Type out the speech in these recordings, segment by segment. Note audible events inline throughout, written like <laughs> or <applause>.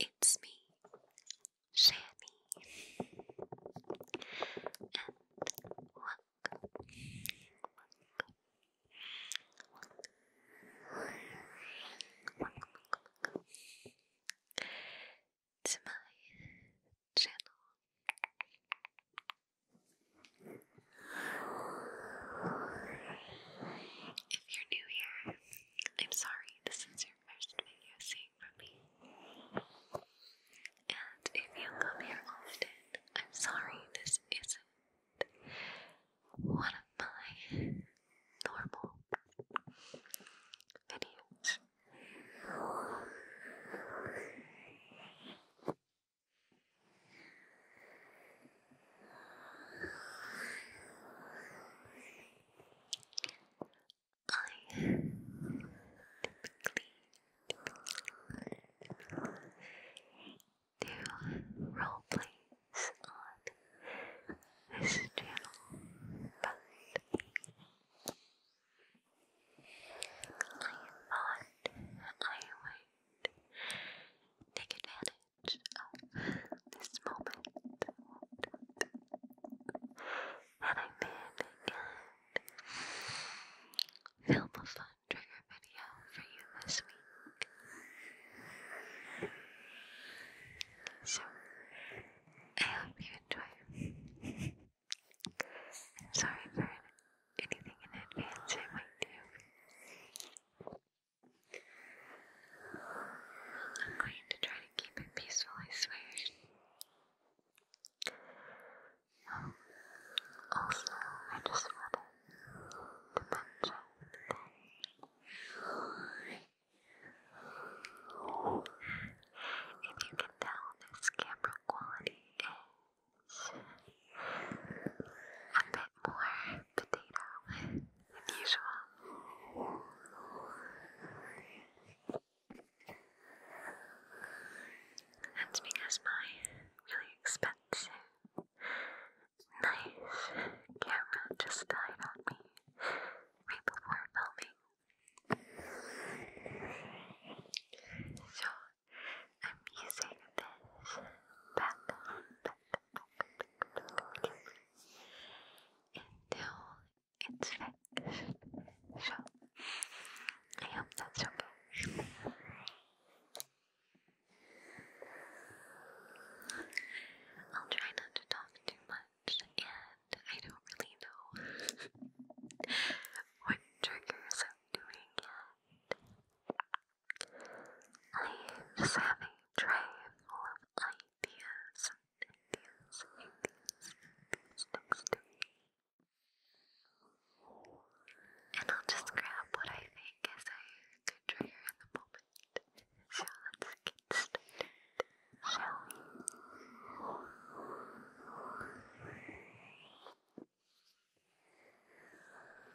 it's me, Shani, and welcome, to my channel. If you're new here, I'm sorry, this is your first video seeing from me. And if you come here often, I'm sorry this isn't one of my normal videos typically do role plays on this channel, but I would take advantage this moment. And I did again. Film fun trigger video for you this week. So, I hope you enjoy. I'm sorry for anything in advance I might do. I'm going to try to keep it peaceful, I swear. Um, also, I just wanted to mention that if you can tell, this camera quality is a bit more potato. Unusual. That's because my really expensive, nice camera just died on me right before filming. So I'm using this background until it's fixed. So I hope that's okay. I'll try not to talk too much, and I don't really know <laughs> what triggers I'm doing yet. I just having a tray full of ideas ideas ideas and I'll just grab what I think is a good trigger in the moment. So let's get started, shall we?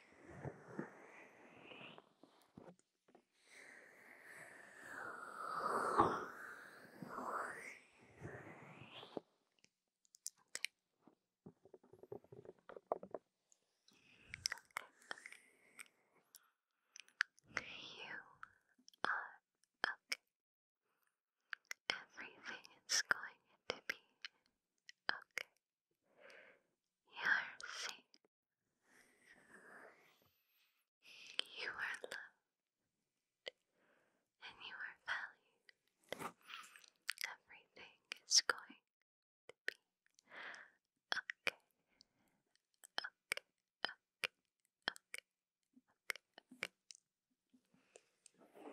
You are okay. Everything is going to be okay. You're sick. You are loved. And you are valued. Everything is going to be okay. Okay, okay, okay, okay, okay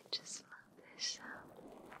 I just love this sound.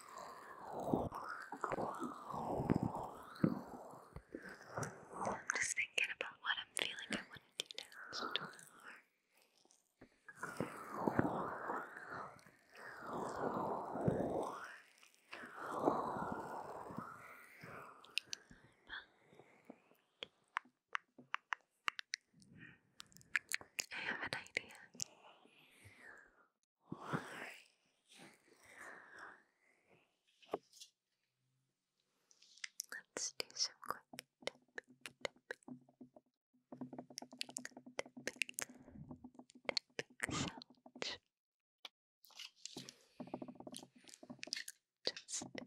I'm just thinking about what I'm feeling I want to do I have an idea. Let's do some quick tapping, Just for you.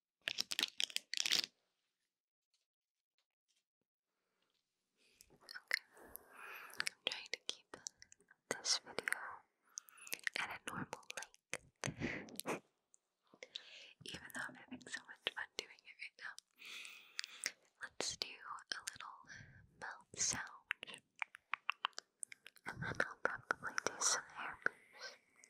I'm trying to keep this video at a normal length. <laughs> Even though I'm having so much fun doing it right now. Let's do a little mouth sound. And then I'll probably do some hair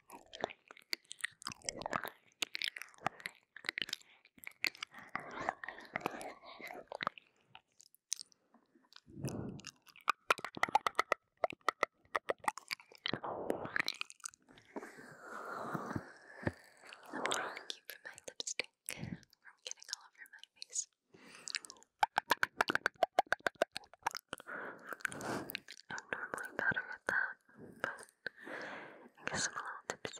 Thank you for my lipstick from getting all over my face. I'm normally better at that, but I guess I'm a little tipsy.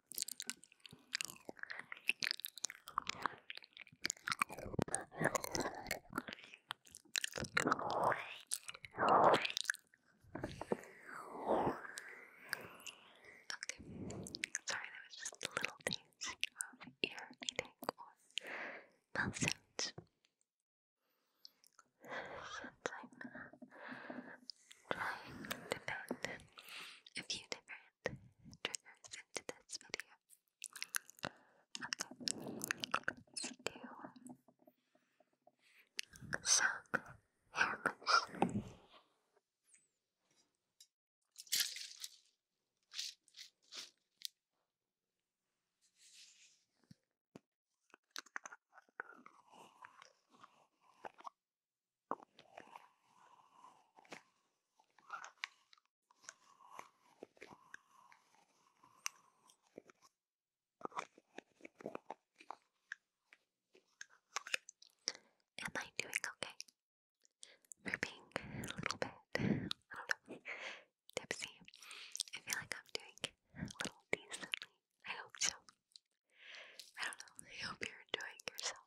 sorry, that was just little taste of ear eating or mouth sounds. Since trying to fit a few different triggers into this video. Okay, let's Am I doing okay? For being a little bit, I don't know, tipsy. I feel like I'm doing a little decently. I hope so. I don't know. I hope you're enjoying yourself.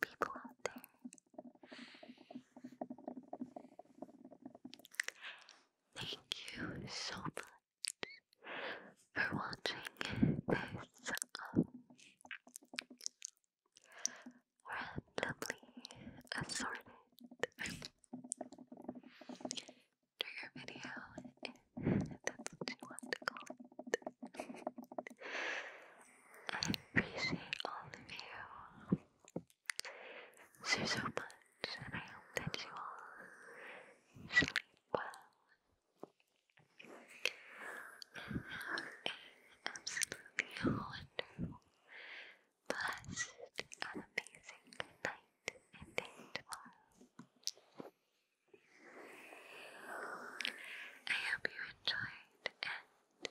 people out there. Thank you so much for watching this um, randomly assorted trigger video, that's what you want to call it. I appreciate all of you so, so much, and I hope that you all sleep well have absolutely wonderful, blessed, and amazing night and day tomorrow. I hope you enjoyed, and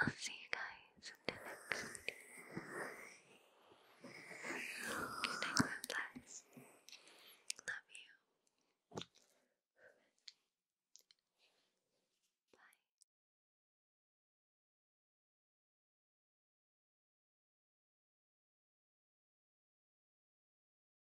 I'll see you guys in the next Good night, my Love you. Bye.